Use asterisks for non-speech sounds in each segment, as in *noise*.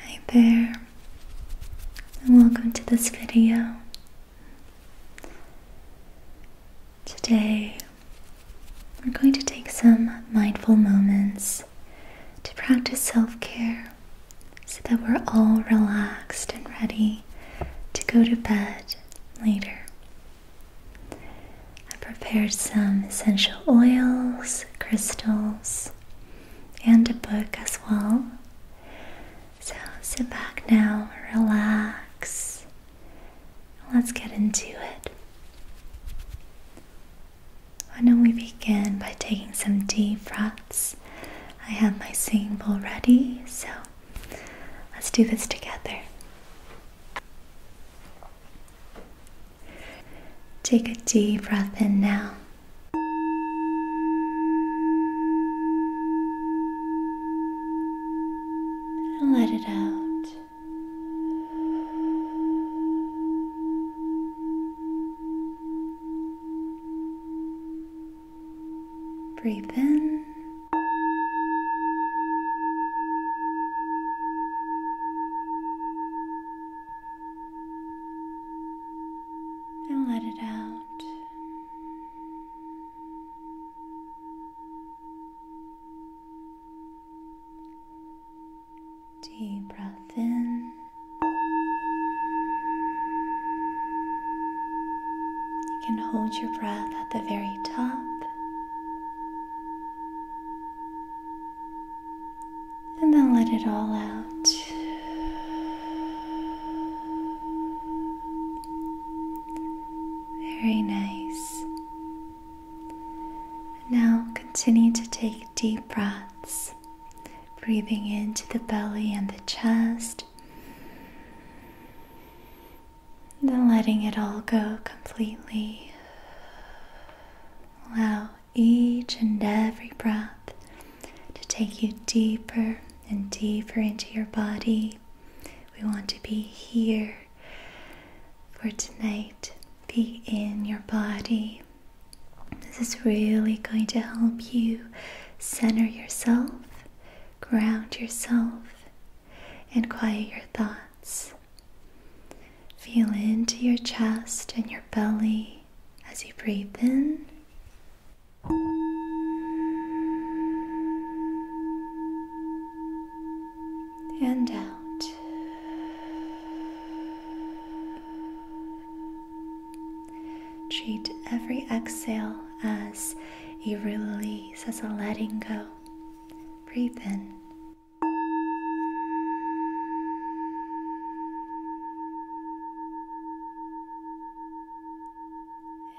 Hi there, and welcome to this video. Today, we're going to take some mindful moments to practice self care so that we're all relaxed and ready to go to bed later. I prepared some essential oils, crystals, and a book as well. So sit back now, relax. Let's get into it. I know we begin by taking some deep breaths? I have my singing bowl ready, so let's do this together. Take a deep breath in now. And let it out. Breathe in and let it out. Deep breath in. You can hold your breath at the very top and then let it all out. Very nice. Now continue to take deep breaths, breathing into the belly and the chest. Then letting it all go completely. Allow each and every breath to take you deeper and deeper into your body. We want to be here for tonight. Be in your body. This is really going to help you center yourself, ground yourself and quiet your thoughts. Feel into your chest and your belly as you breathe in. And out. Treat every exhale as a release, as a letting go. Breathe in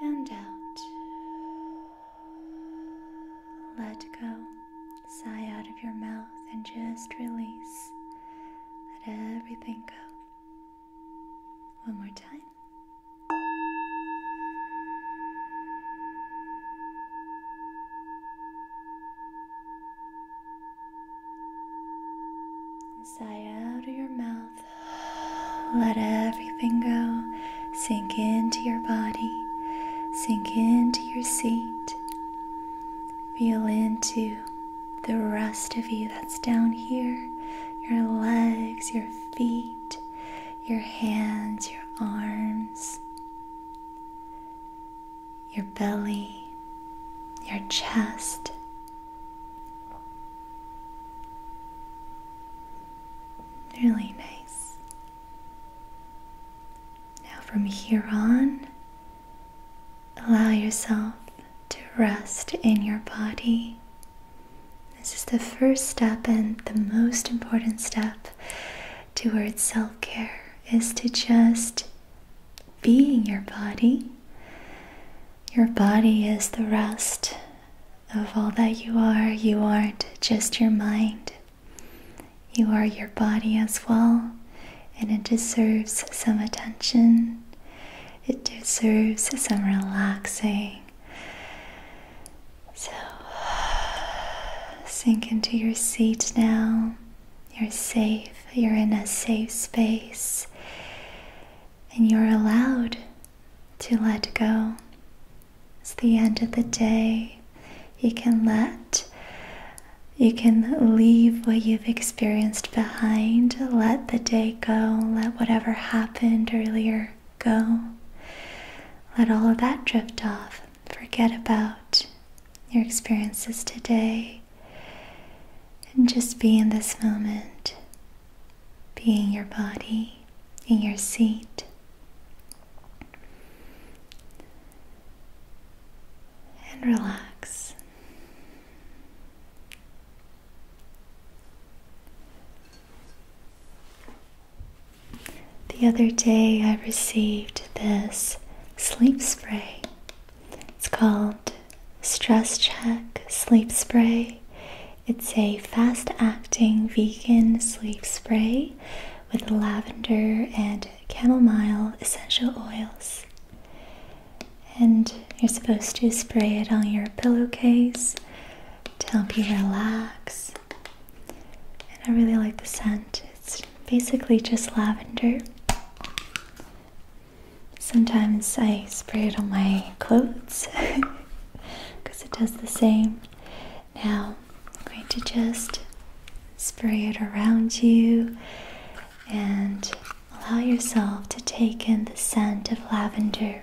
and out. Let go. Sigh out of your mouth and just release. Let everything go. One more time. Inside out of your mouth. Let everything go. Sink into your body. Sink into your seat. Feel into the rest of you that's down here your legs, your feet, your hands, your arms, your belly, your chest. Really nice. Now, from here on, allow yourself to rest in your body. This is the first step and the most important step towards self care is to just be in your body. Your body is the rest of all that you are. You aren't just your mind, you are your body as well, and it deserves some attention. It deserves some relaxing. So, sink into your seat now. You're safe, you're in a safe space, and you're allowed to let go. It's the end of the day. You can let, you can leave what you've experienced behind. Let the day go. Let whatever happened earlier go. Let all of that drift off. Forget about your experiences today and just be in this moment, be in your body, in your seat. And relax. The other day I received this sleep spray. It's called Stress Check Sleep Spray. It's a fast acting vegan sleep spray with lavender and chamomile essential oils. And you're supposed to spray it on your pillowcase to help you relax and I really like the scent. It's basically just lavender. Sometimes I spray it on my clothes because *laughs* it does the same. Now I'm going to just spray it around you and allow yourself to take in the scent of lavender.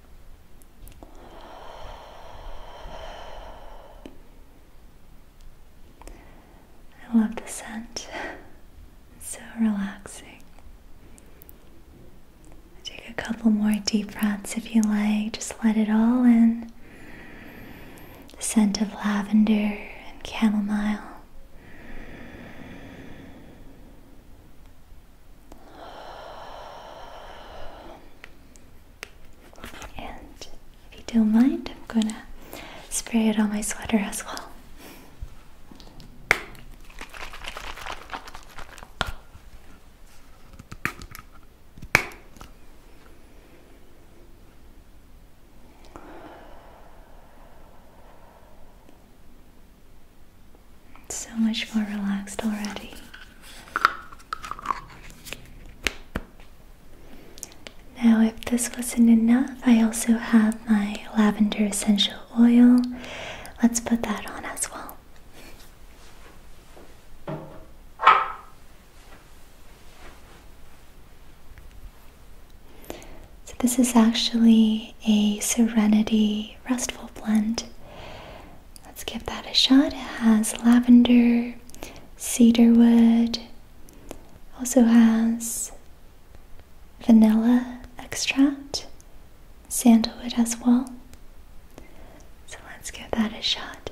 I love the scent. so relaxing. Take a couple more deep breaths if you like. Just let it all in. The scent of lavender and chamomile. And if you don't mind, I'm gonna spray it on my sweater as well. so much more relaxed already. Now, if this wasn't enough, I also have my lavender essential oil. Let's put that on as well. So, this is actually a Serenity Restful Blend. Let's give that a shot. It has lavender, cedarwood, also has vanilla extract, sandalwood as well. So let's give that a shot.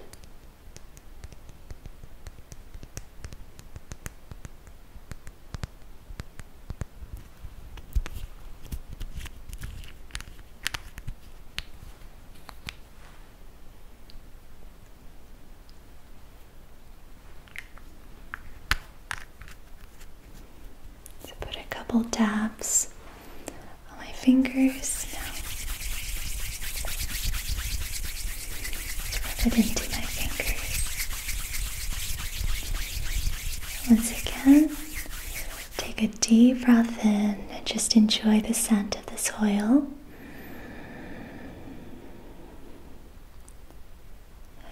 So put a couple taps on my fingers now. Rub it into my fingers. Once again, Take a deep breath in and just enjoy the scent of the soil.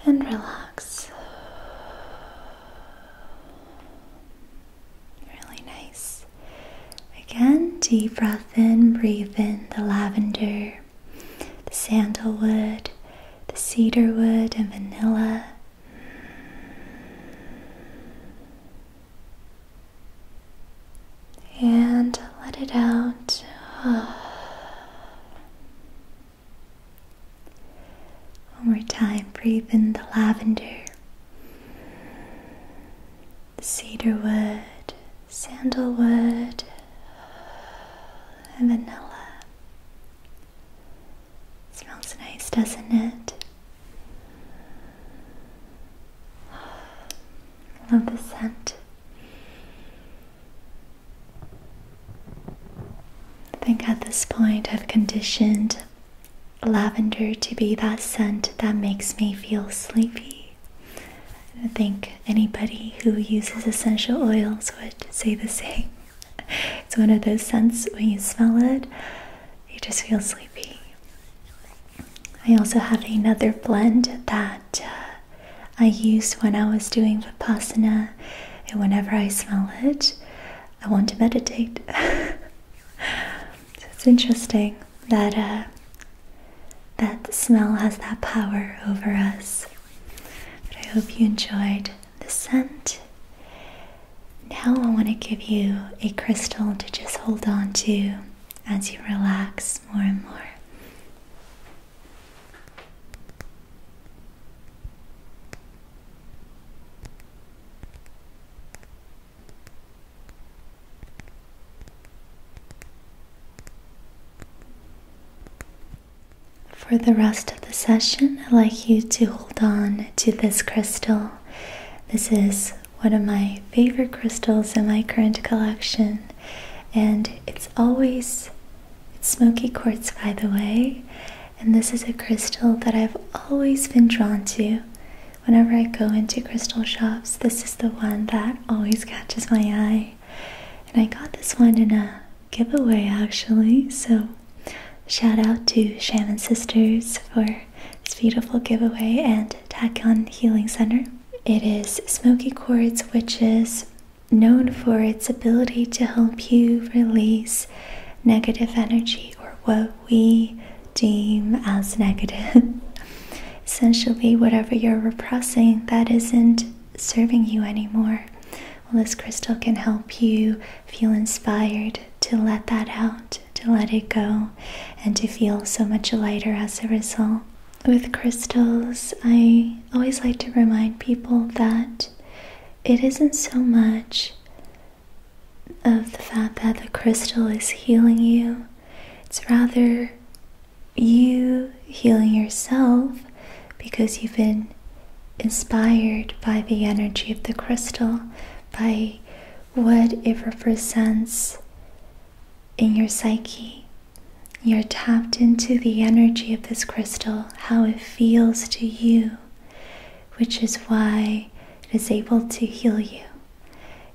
And relax. Really nice. Again, deep breath in, breathe in the lavender, the sandalwood, the cedarwood, and vanilla, and let it out. One more time, breathe in the lavender, cedarwood, sandalwood, and vanilla. smells nice, doesn't it? Love the scent. I think at this point I've conditioned lavender to be that scent that makes me feel sleepy. I think anybody who uses essential oils would say the same. *laughs* It's one of those scents when you smell it, you just feel sleepy. I also have another blend that uh, I used when I was doing Vipassana, and whenever I smell it, I want to meditate. *laughs* it's interesting that uh, that smell has that power over us. But I hope you enjoyed the scent, now I want to give you a crystal to just hold on to as you relax more and more. For the rest of the session, I'd like you to hold on to this crystal this is one of my favorite crystals in my current collection, and it's always it's smoky quartz, by the way. And this is a crystal that I've always been drawn to. Whenever I go into crystal shops, this is the one that always catches my eye. And I got this one in a giveaway actually, so shout out to Shaman Sisters for for beautiful giveaway and Tachyon Healing Center. It is Smoky Quartz, which is known for its ability to help you release negative energy or what we deem as negative. *laughs* Essentially, whatever you're repressing that isn't serving you anymore. Well, this crystal can help you feel inspired to let that out to let it go and to feel so much lighter as a result. With crystals, I always like to remind people that it isn't so much of the fact that the crystal is healing you, it's rather you healing yourself because you've been inspired by the energy of the crystal, by what it represents in your psyche. You're tapped into the energy of this crystal, how it feels to you, which is why it is able to heal you.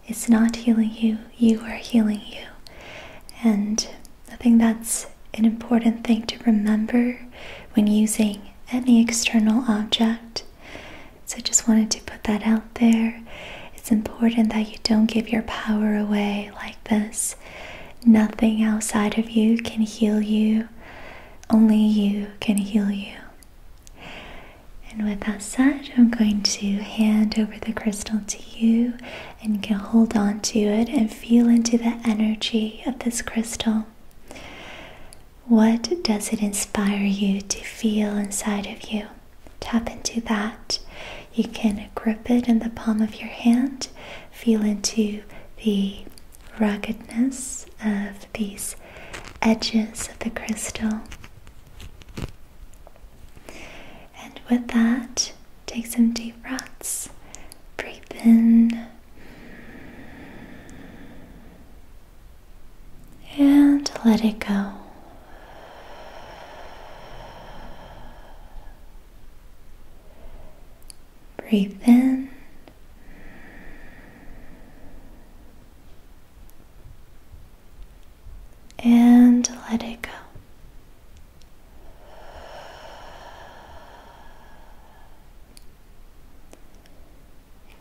It's not healing you, you are healing you. And I think that's an important thing to remember when using any external object so just wanted to put that out there. It's important that you don't give your power away like this. Nothing outside of you can heal you. Only you can heal you. And with that said, I'm going to hand over the crystal to you and you can hold on to it and feel into the energy of this crystal. What does it inspire you to feel inside of you? Tap into that. You can grip it in the palm of your hand, feel into the ruggedness of these edges of the crystal. And with that, take some deep breaths. Breathe in and let it go. Breathe in and let it go.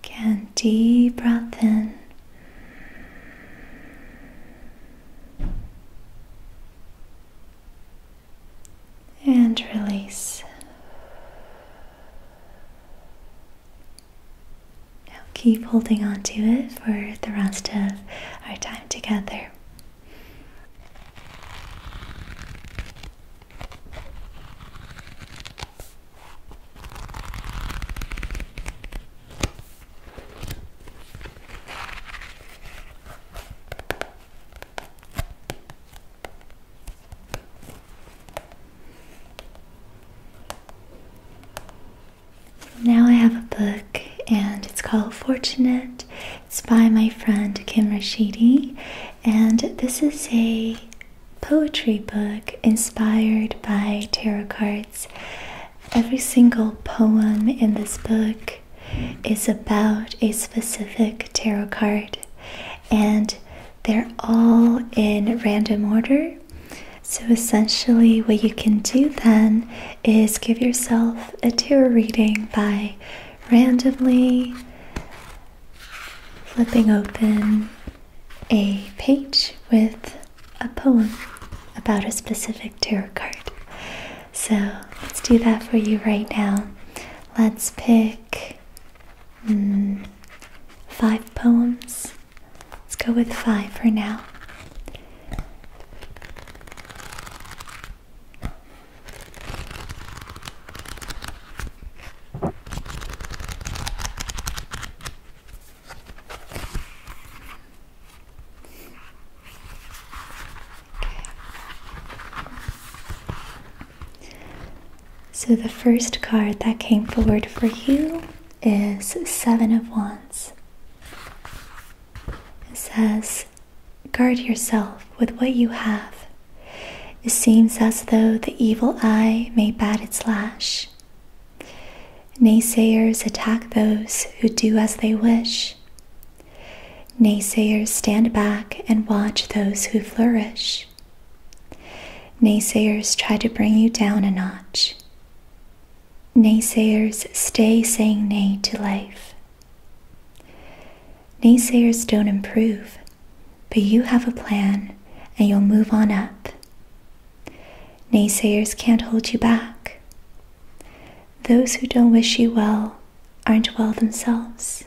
Again, deep breath in. And release. Now keep holding on to it for the rest of our time together. Now I have a book and it's called Fortunate. It's by my friend Kim Rashidi and this is a poetry book inspired by tarot cards. Every single poem in this book is about a specific tarot card, and they're all in random order. So, essentially, what you can do then is give yourself a tarot reading by randomly flipping open a page with a poem about a specific tarot card. So let's do that for you right now. Let's pick hmm, five poems. Let's go with five for now. So the first card that came forward for you is Seven of Wands. It says, Guard yourself with what you have it seems as though the evil eye may bat its lash. Naysayers attack those who do as they wish. Naysayers stand back and watch those who flourish. Naysayers try to bring you down a notch. Naysayers stay saying nay to life. Naysayers don't improve, but you have a plan and you'll move on up. Naysayers can't hold you back. Those who don't wish you well aren't well themselves.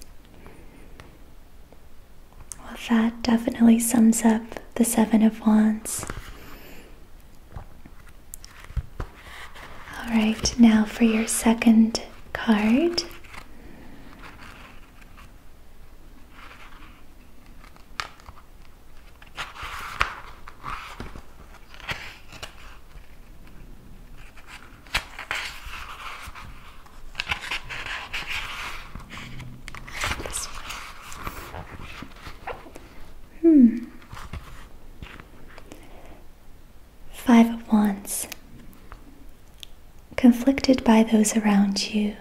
Well, that definitely sums up the Seven of Wands. All right, now for your second card. Hmm. Five of Wands. Conflicted by those around you,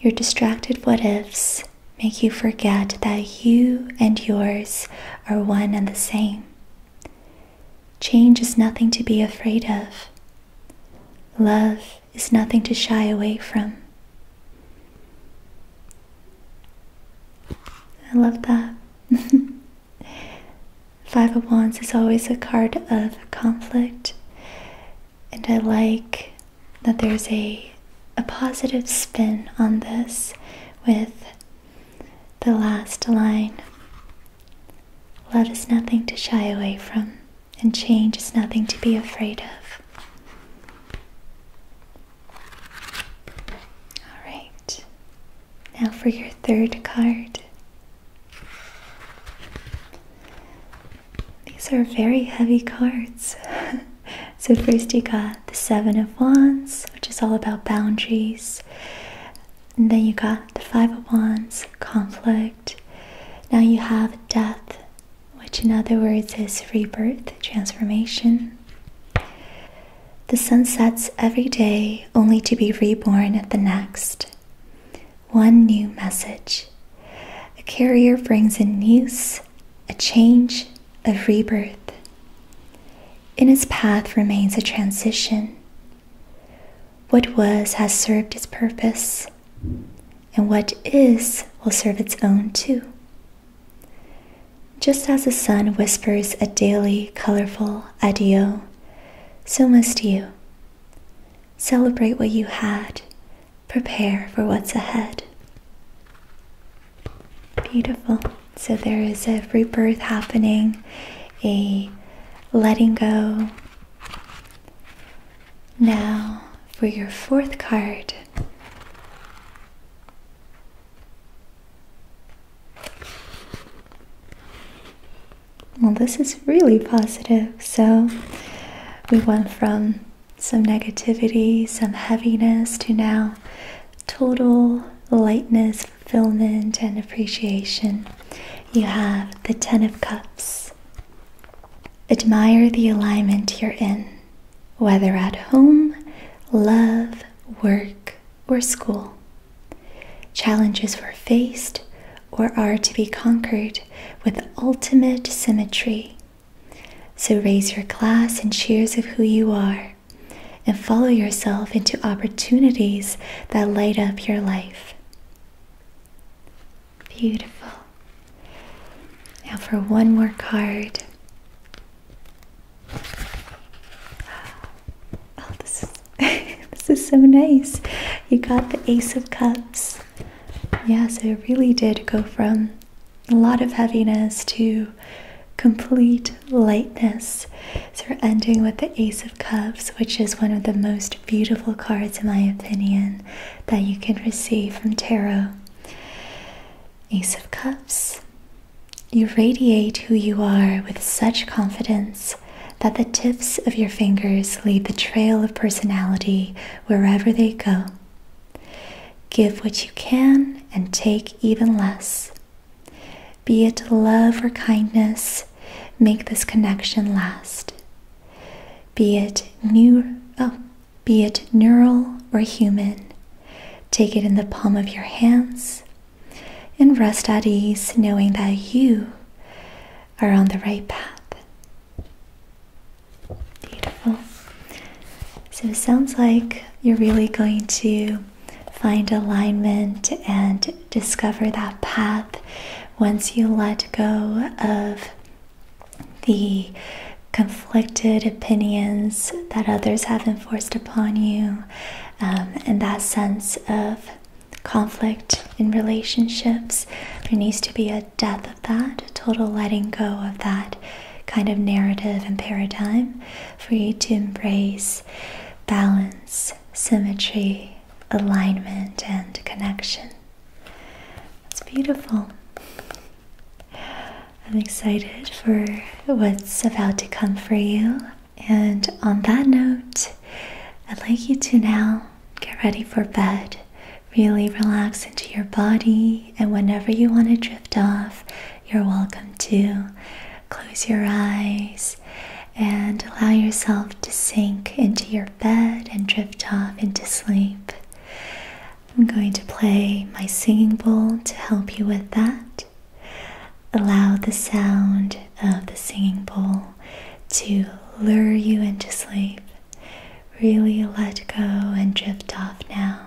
your distracted what ifs make you forget that you and yours are one and the same. Change is nothing to be afraid of. Love is nothing to shy away from. I love that. *laughs* Five of Wands is always a card of conflict, and I like that there's a, a positive spin on this with the last line Love is nothing to shy away from, and change is nothing to be afraid of. All right, now for your third card. These are very heavy cards. *laughs* so, first you got the Seven of Wands, which is all about boundaries. And then you got the Five of Wands, conflict. Now you have death, which in other words is rebirth, transformation. The sun sets every day only to be reborn at the next one new message. A carrier brings in news, a change, a rebirth. In its path remains a transition. What was has served its purpose, and what is will serve its own too. Just as the sun whispers a daily colorful adieu, so must you, Celebrate what you had, prepare for what's ahead. Beautiful. So there is a rebirth happening, a letting go. Now, for your fourth card. Well, this is really positive. So we went from some negativity, some heaviness to now total lightness, fulfillment, and appreciation. You have the Ten of Cups. Admire the alignment you're in, whether at home, love, work, or school. Challenges were faced or are to be conquered with ultimate symmetry. So raise your glass and cheers of who you are, and follow yourself into opportunities that light up your life. Beautiful. Now for one more card. Oh, this *laughs* this is so nice. You got the Ace of Cups. Yes, it really did go from a lot of heaviness to complete lightness. So we're ending with the Ace of Cups, which is one of the most beautiful cards, in my opinion, that you can receive from tarot. Ace of Cups. You radiate who you are with such confidence that the tips of your fingers leave the trail of personality wherever they go. Give what you can and take even less. Be it love or kindness, make this connection last. Be it new, oh, be it neural or human, take it in the palm of your hands and rest at ease knowing that you are on the right path. Beautiful. So it sounds like you're really going to find alignment and discover that path once you let go of the conflicted opinions that others have enforced upon you um, and that sense of conflict in relationships. There needs to be a death of that, a total letting go of that kind of narrative and paradigm for you to embrace balance, symmetry, alignment, and connection. It's beautiful. I'm excited for what's about to come for you. And on that note, I'd like you to now get ready for bed. Really relax into your body, and whenever you want to drift off, you're welcome to. Close your eyes and allow yourself to sink into your bed and drift off into sleep. I'm going to play my singing bowl to help you with that. Allow the sound of the singing bowl to lure you into sleep. Really let go and drift off now.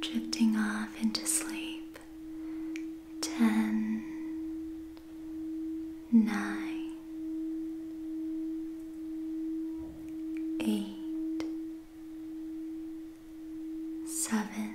Drifting off into sleep. Ten, nine, eight, seven.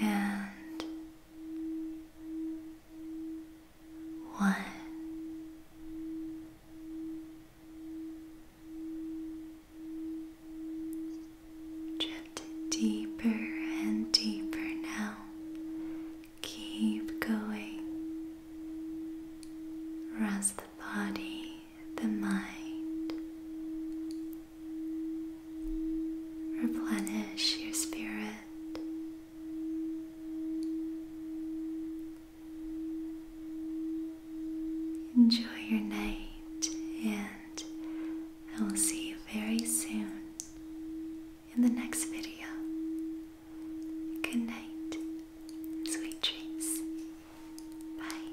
and one. Drift deeper and deeper now. Keep going. Rest the body the mind. Replenish your spirit. Enjoy your night, and I will see you very soon in the next video. Good night, sweet dreams. Bye.